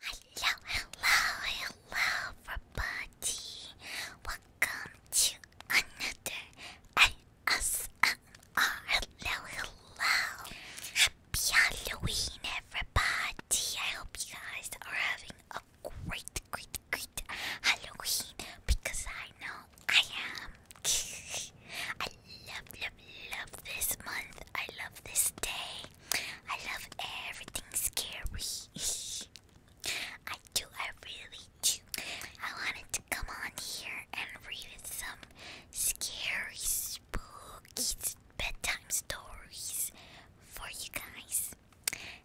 Hello, hello, hello, everybody. Welcome to another ASMR. Hello, hello. Happy Halloween, everybody. I hope you guys are having a great, great, great Halloween because I know I am. I love, love, love this month. I love this day. I love everything scary. I do, I really do. I wanted to come on here and read some scary, spooky bedtime stories for you guys.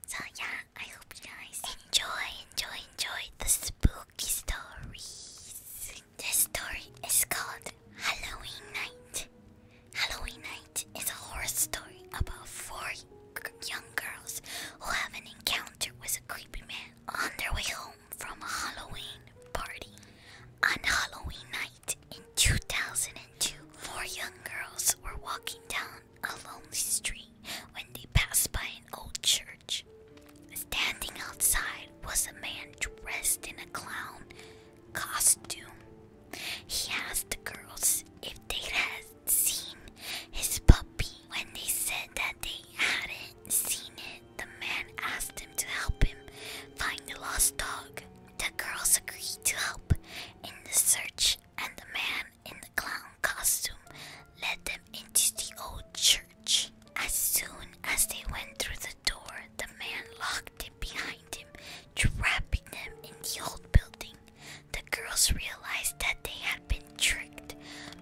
So, yeah, I hope you guys enjoy, enjoy, enjoy the spooky stories. This story is called Halloween Night. Halloween Night is a horror story about four young girls who have an encounter with a creepy man on their way home from a Halloween party. On Halloween night in 2002, four young girls were walking down a lonely street when they passed by an old church. Standing outside was a man dressed in a clown costume. He asked the girls if they had seen his puppy. When they said that they hadn't seen it, the man asked them to help him find the lost dog. The girls agreed to help in the search, and the man in the clown costume let them into the old church. As soon as they went through the door, the man locked it behind him, trapping them in the old building. The girls realized that they had been tricked,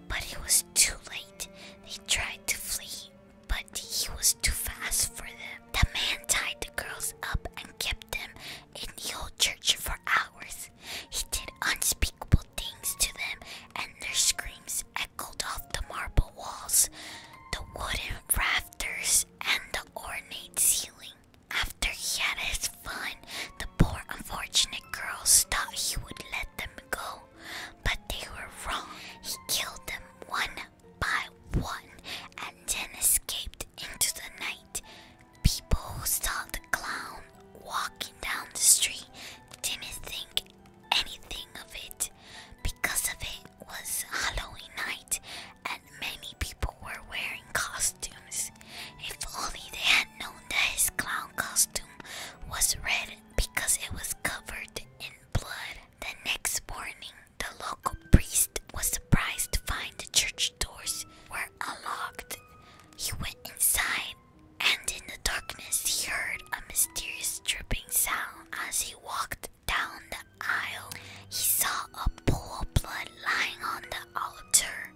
but it was too late. They tried to flee, but he was too fast for them. The man tied the girls up and kept them in the old church for hours. He did unspeakable things to them, and their screams echoed off the marble walls, the wooden rafters, and the ornate ceiling. After he had his fun, the poor unfortunate girls thought he would let them go, but they were wrong. He killed them one by one and then escaped into the night. People who saw the clown walking down the street didn't think anything of it because of it was Halloween night and many people were wearing costumes. If only they had known that his clown costume was red because it was covered in blood. The next morning, the local priest was surprised to find the church doors were unlocked. He went inside and in the darkness, he heard a mysterious dripping sound as he walked down the aisle. He saw a pool of blood lying on the altar.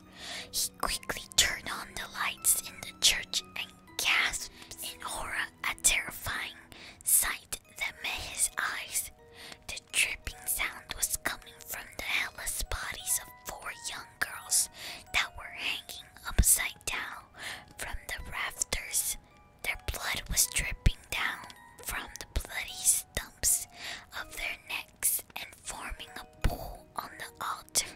He quickly turned on the lights in the church and gasped in horror at terrifying sight that met his eyes. The dripping sound was coming from the headless bodies of four young girls that were hanging upside down from the rafters. Their blood was dripping down from the bloody stumps of their necks and forming a pool on the altar.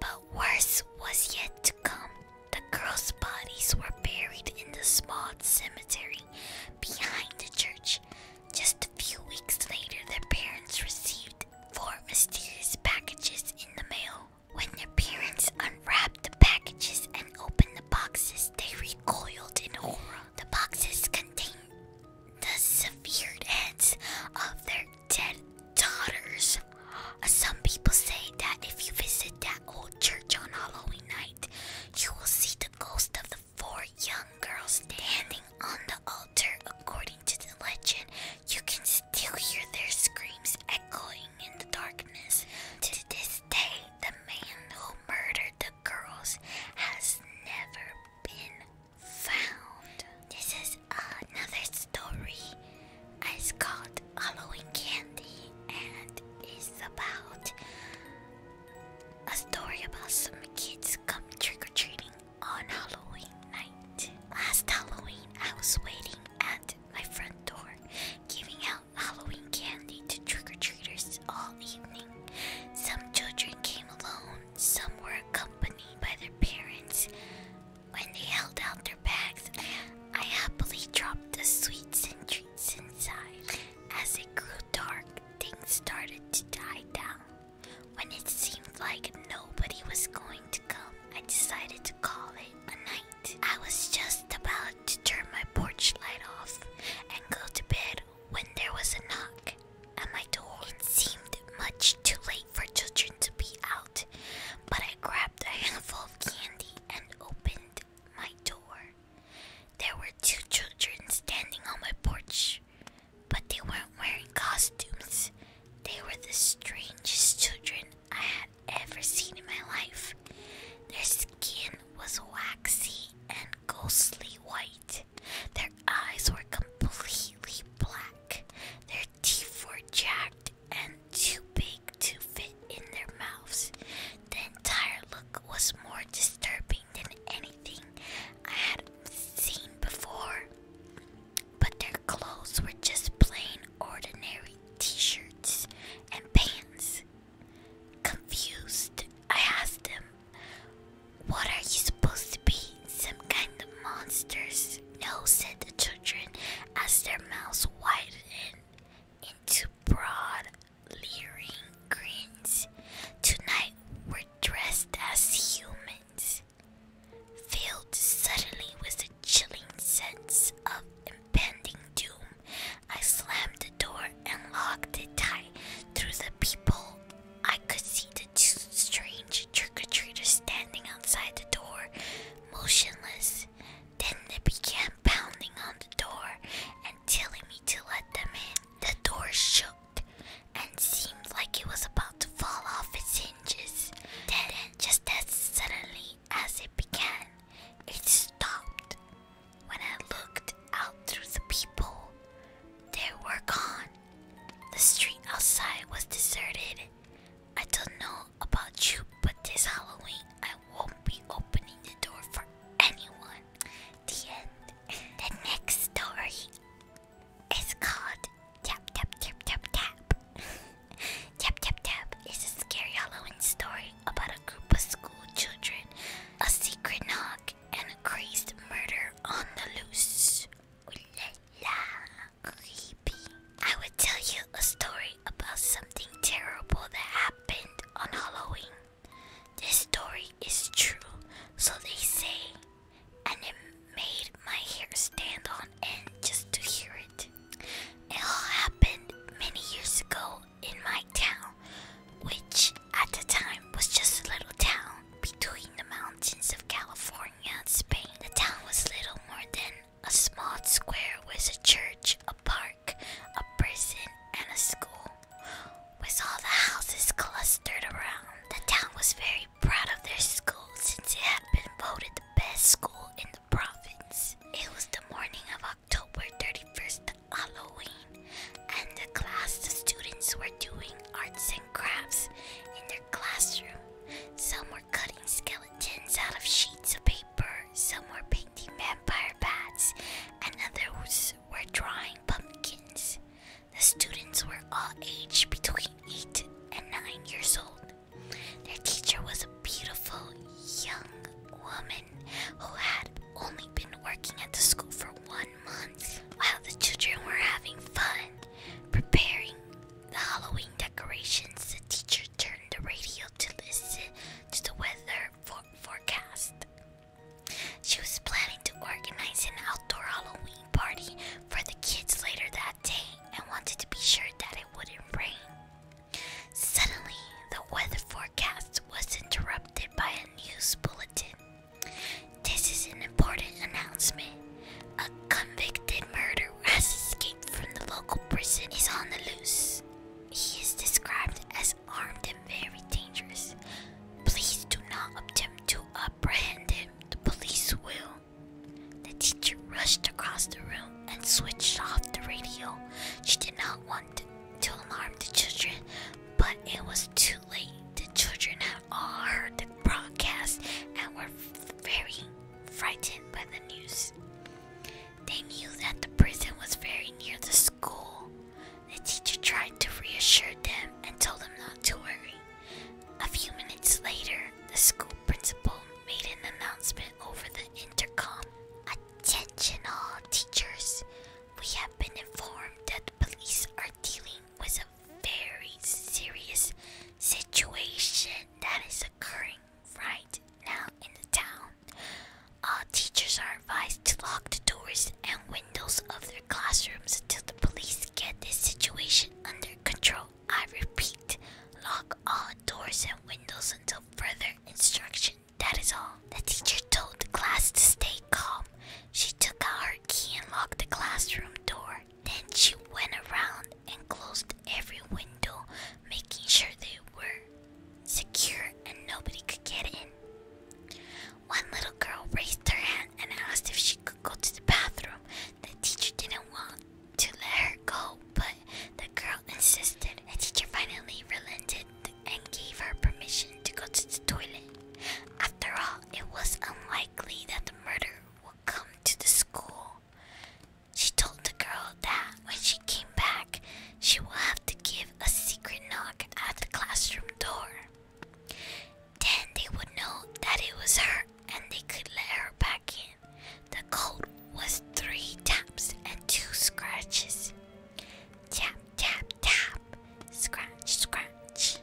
But worse was yet to come. The girls' bodies were buried in the small cemetery behind the church. Just a few weeks later, their parents received four mysterious packages in the mail. When their parents unwrapped the packages and opened the boxes, they recoiled in horror. The boxes contained the severed heads of their dead daughters. Uh, some people say that if you visit that old church on Halloween night, you will see the ghost of the four young girls standing on the altar. According to the legend, you can still hear their screams echoing in the darkness. To this day, the man who murdered the girls has never been found. This is another story. It's called Halloween Candy and it's about a story about some kids come trick or treating on Halloween night. Last Halloween, I was waiting at my front door, giving out Halloween candy to trick or treaters all evening. Some children came alone, some were accompanied by their parents. When they held out their bags, I happily dropped the sweets and treats inside. As it grew dark, things started to die down. When it seemed like nobody was going to come, I decided to call it a night. I was just about to turn my porch light off and go to bed when there was a knock at my door. It seemed much too late for children to be out, but I grabbed a handful of candy and opened my door. There were two children standing on my porch, but they weren't wearing costumes. They were the strangest children I had ever seen in my life. Their skin was waxy and ghostly white. Their eyes were completely black. Their teeth were jagged and too big to fit in their mouths. The entire look was more disturbing than anything I had seen before but their clothes were just plain ordinary t shirts and pants. Confused, I asked them, What are you supposed to be? Some kind of monsters? No, said the children as their mouths widened into broad, leering grins. Tonight we're dressed as humans filled suddenly with a chilling sense of impending doom. I slammed the door and locked it tight. Through the people, I could see the two strange trick-or-treaters standing outside the door, motionless. Then they began pounding on the door and telling me to let them in. The door shook and seemed like it was about to fall off its hinges. Then just as suddenly as it began, it stopped. When I looked out through the people, they were gone. The street outside was deserted. I don't know about you, but this Halloween I won't be opening the door for anyone. The end. the next story it's called Tap Tap Tap Tap Tap. tap Tap Tap is a scary Halloween story about a group of school children, a secret knock, and a crazed murder on the loose. Ooh la la, creepy. I would tell you a story about something terrible that happened on Halloween. This story is true, so they say and it made my hair stand on end just to hear it. It all happened many years ago in my town, which at the time was just a little town between the mountains of California and Spain. The town was little more than a small square with a church, a park, a prison, and a school, with all the houses clustered around. The town was very proud of their school since it had been voted the best school in the province. It was the morning of October 31st, Halloween, and the class the students were doing arts and crafts in their classroom. Some were cutting skeletons out of sheets of paper, some were painting vampire bats, and others were drawing pumpkins. The students were all aged between 8 and 9 years old. Their teacher was a beautiful young woman who had only been working at the school for one month while the children were having fun preparing the Halloween decorations. The teacher turned the radio to listen to the weather forecast. She was planning to organize an outdoor Halloween party for the kids later that day I wanted to be sure that it wouldn't rain. Suddenly, the weather forecast was interrupted by a news bulletin. This is an important announcement. A convicted murderer has escaped from the local prison is on the loose. He is described as armed and very dangerous. Please do not attempt to apprehend him. The police will. The teacher rushed across the room and switched off the radio. She did not want to, alarm the children, but it was too late. The children had all heard the broadcast and were very frightened by the news. They knew that the prison was very near the school. The teacher tried to reassure them and told them not to worry. A few minutes later, the school principal made an announcement over the intercom. Attention all teachers! We have been informed that the police are dealing with a very serious situation that is occurring right now in the town. All teachers are advised to lock the doors and windows of their classrooms until the police get this situation under control. I repeat, lock all doors and windows until further instruction. That is all. The teacher told the class to stay calm. She took out her key and locked the classroom door. Then she went around and closed every window, making sure they were secure and nobody could get in. One little girl raised her hand and asked if she could go to the bathroom. The teacher didn't want to let her go, but the girl insisted, The teacher finally relented and gave her permission to go to the toilet. After all, it was unlikely that the murder would come to the school. She told the girl that when she came back, she will have to give a secret knock at the classroom door. Then they would know that it was her and they could let her back in. The code was three taps and two scratches. Tap, tap, tap. Scratch, scratch.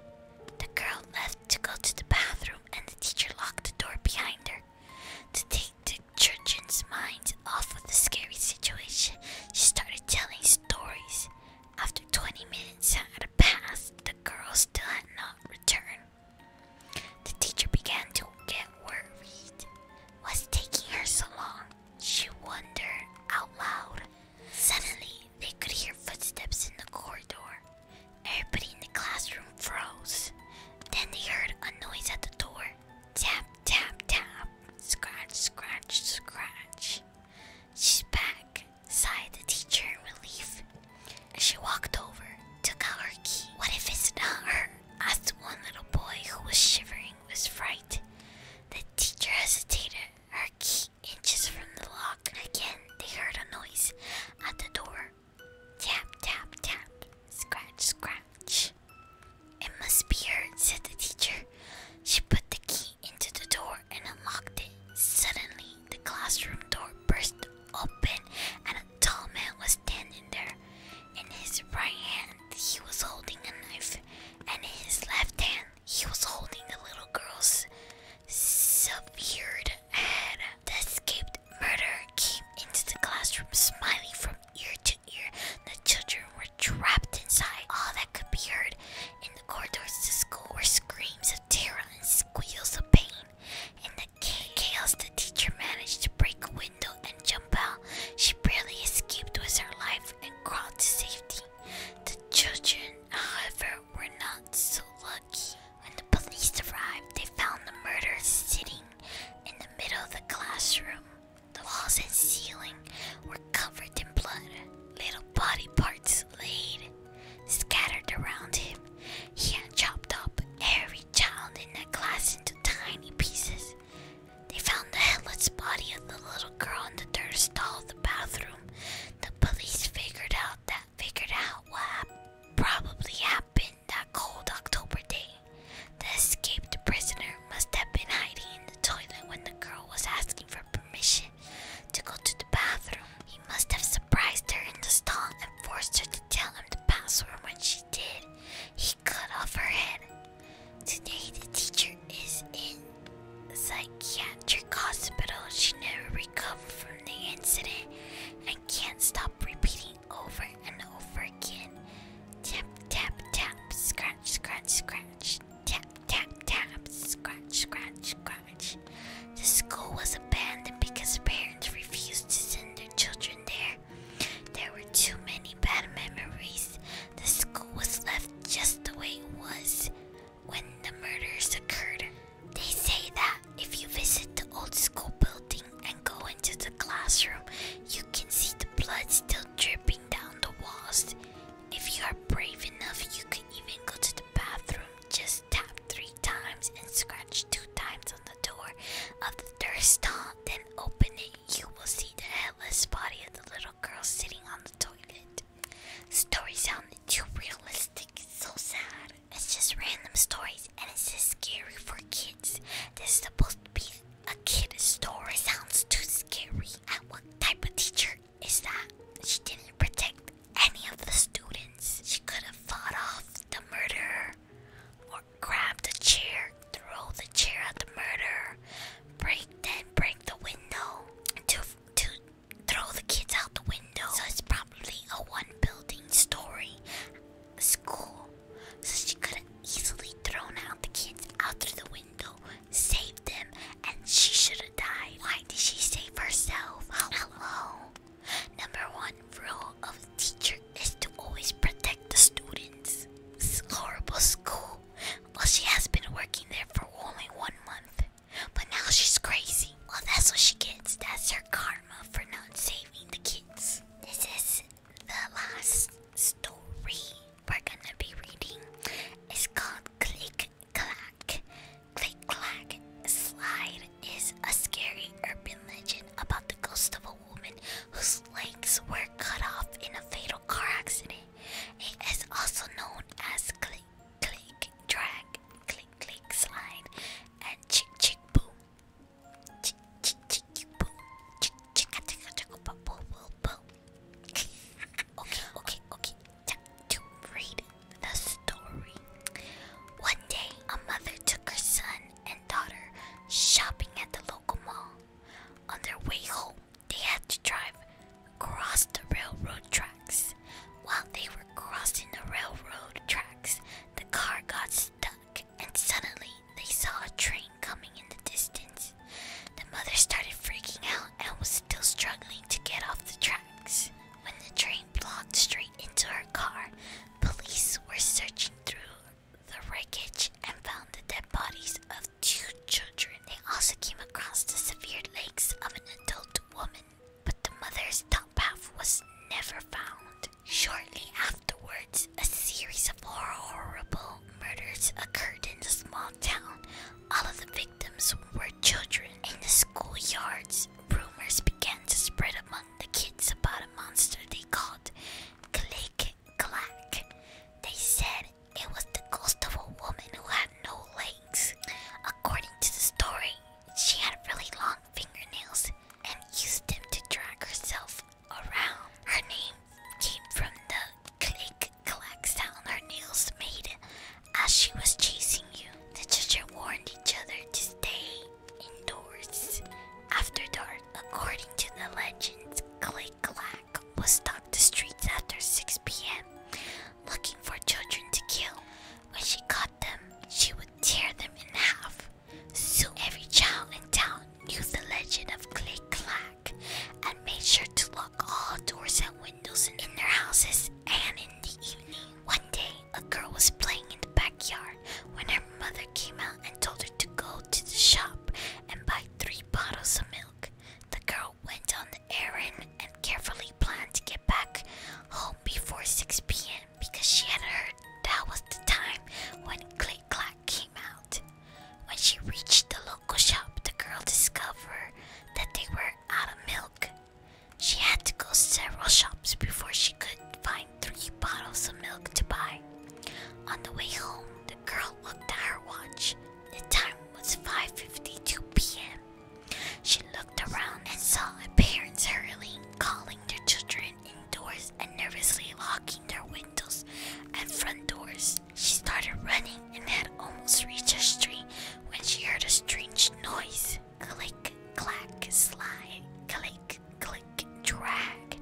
The girl left to go to the bathroom and the teacher locked the door behind her. To take the children's minds off of the scary situation, she started telling stories. After 20 minutes had passed, the girl still had not returned. The teacher began to get worried. What's taking her so long? She wondered out loud. Suddenly, they could hear footsteps in the corridor. Everybody in the classroom froze. Then they heard a noise at the door. Tap, tap, tap. Scratch, scratch, scratch. She's back, sighed the teacher in relief. She walked over, took out her key. What if it's not her? asked one little boy who was shivering with fright. The teacher hesitated, her key inches from the lock. Again, they heard a noise at the door. Tap, tap, tap, scratch, scratch. It must be her, said the teacher. She put the key into the door and unlocked it. Suddenly, the classroom door burst open, and a tall man was standing there. In his right hand, he was holding a knife, and in his left hand, he was holding the little girl's severed head. The escaped murderer came into the classroom, smiling from ear to ear. The children were trapped inside. All that could be heard in the corridors to school were screams of terror and squeals of pain. In the chaos, the teacher managed to break a window and jump out. She barely escaped with her life and crawled to safety. The children, however, were not so lucky. When the police arrived, they found the murderer sitting in the middle of the classroom. The walls and ceiling were covered in blood. Little body parts laid scattered around him. He had chopped up every child in that class into tiny pieces. They found the headless body of the little girl in the dirt stall of the bathroom. The police figured out that figured out what probably happened that cold October day. The escaped prisoner must have been hiding in the toilet when the girl was asking for permission to go to the bathroom. He must have surprised her in the stall and forced her to tell him the password when she did. He cut off her head. Today, the teacher is in psychiatric hospital. She never recovered from the incident and can't stop repeating over and over again. Tap, tap, tap, scratch, scratch, scratch. Tap, tap, tap, scratch, scratch, scratch. The school was abandoned because parents refused to send their children there. There were too many bad memories. The school was left just the way it was when the murders occurred. They say that if you visit the old school building and go into the classroom, you can see the blood still dripping down the walls. If you are brave enough, you can even go to the bathroom just tap three times and scratch two times on the door of the third stall, then open it. You will see the headless body of the little girl sitting on the toilet. Story sounded too realistic. It's so sad. It's just random stories, and it's scary for kids. This is supposed to be a kid story. sounds too scary. And what type of teacher is that? She didn't protect any of the students. She could have fought off the murderer, or grabbed a chair, throw the chair at the murderer, break then break the window, to to throw the kids out the window. So it's probably a one-building story school. So she could have easily thrown out the kids out through the window, saved them, and she should have died. Why did she save herself? Hello. Number one rule of teacher is to always protect the students. It's horrible school. Well, she has been working there for only one month, but now she's crazy. Well, that's what she gets. That's her karma for not saving the kids. This is the last story we're gonna be reading. It's called Click clack, click clack. Slide is a scary urban legend about the ghost of a woman whose legs were cut off in a fatal car accident. It is also known as click, click, drag, click, click, slide, and chick, chick, boom. Chick, chick, chick, boom. Chick, chick, chick, boom, boom, boom. Okay, okay, okay to read the story. One day, a mother took her son and daughter shopping at the local mall. On their way home, they had to drive across the railroad tracks. While they were crossing the railroad tracks, the car got stuck, and suddenly they saw a train coming in the distance. The mother started freaking out and was still struggling to get off the tracks. When the train blocked into her car. Police were searching through the wreckage and found the dead bodies of two children. They also came across the severed legs of an adult woman, but the mother's top half was never found. Shortly afterwards, a series of horrible murders occurred in the small town. All of the victims were children in the schoolyards, rumors began to spread among the kids about a monster they called Click Clack. They said it was the ghost of a woman who had no legs. According to the story, she had really long fingernails and used them to drag herself around. Her name came from the click clack sound her nails made as she was chasing you, the children warned each other to stay indoors. After dark, according to the legends, Click Clack was stalked the streets after 6 p.m., looking for children to kill. When she caught them, she would tear them in half. Soon, every child in town knew the legend of Click Clack and made sure to lock all doors and windows in their houses and in the evening. One day, a girl was playing in the backyard when her mother came out and told her to go to the shop and buy three bottles of milk. The girl went on the errand and carefully planned to get back home before 6 p.m. because she had heard that was the time when Click Clack came out. When she reached the local shop, the girl discovered that they were out of milk. She had to go several shops before she could find three bottles of milk to buy. On the way home, the girl looked at her watch. The time was 5:52 p.m. She looked around and saw her parents hurrying, calling their children indoors and nervously locking their windows and front doors. She started running and had almost reached her street when she heard a strange noise click, clack, slide, click, click, drag,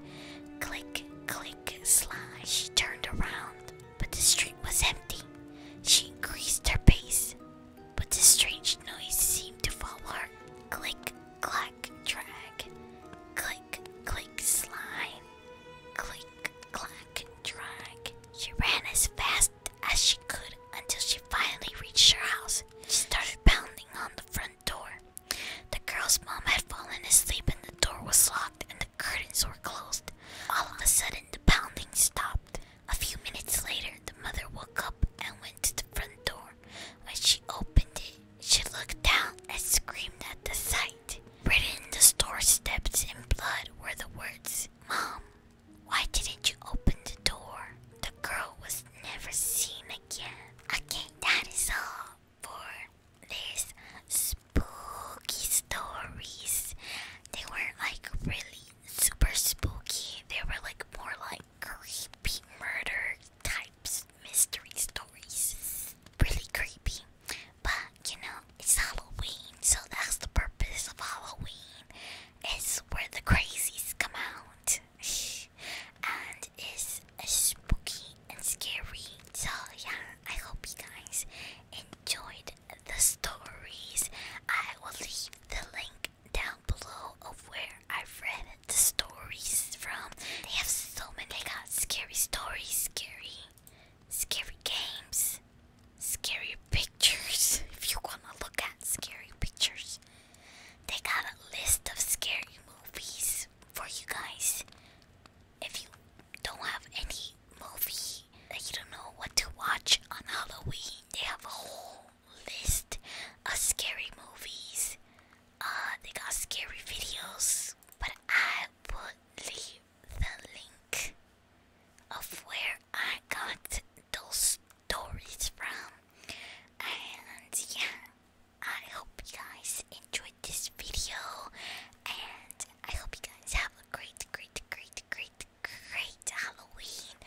click, click, slide. She turned around, but the street was empty. She increased her pace, but the strange noise seemed to follow her. Click, clack, drag, click, click, slide, click, clack, drag. She ran as fast as she could until she finally reached her house. She started pounding on the front door. The girl's mom had fallen asleep and the door was locked and the curtains were closed. All of a sudden, the pounding stopped. A few minutes later, the mother woke up and went to the front door. When she opened it, she looked down and screamed at the sight. Written in the store steps in blood were the words, Mom, why didn't you open the door? The girl was never seen again. Okay, that is all for this spooky stories. They were like really super spooky. They were like more like creepy murder types mystery stories. Really creepy. But you know, it's Halloween, so that's the purpose of Halloween. It's where the crazies come out. and it's spooky and scary. So, yeah, I hope you guys enjoyed the stories. I will leave the link down below of where I've read the stories from. They have so many. They got scary stories, scary, scary games scary pictures. If you wanna look at scary pictures, they got a list of scary movies for you guys. If you don't have any movie that you don't know what to watch on Halloween, they have a whole list of scary movies. Uh, they got scary videos, but I would leave the link of where I got those stories from. And yeah, I hope you guys enjoyed this video. And I hope you guys have a great, great, great, great, great Halloween.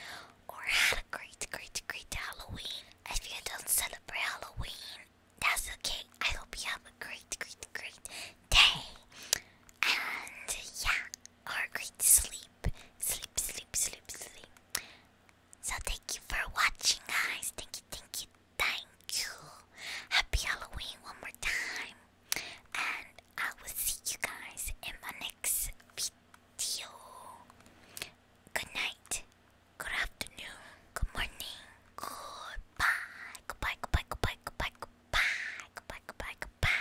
Or had a great, great, great Halloween. If you don't celebrate Halloween, that's okay. I hope you have a great, great, great day. And yeah, or great sleep. Sleep, sleep, sleep, sleep. So thank you for watching, guys. Thank you, thank you, thank you. Happy Halloween one more time. And I will see you guys in my next video. Good night. Good afternoon. Good morning. Goodbye, goodbye, goodbye, goodbye, goodbye. Goodbye, goodbye, goodbye.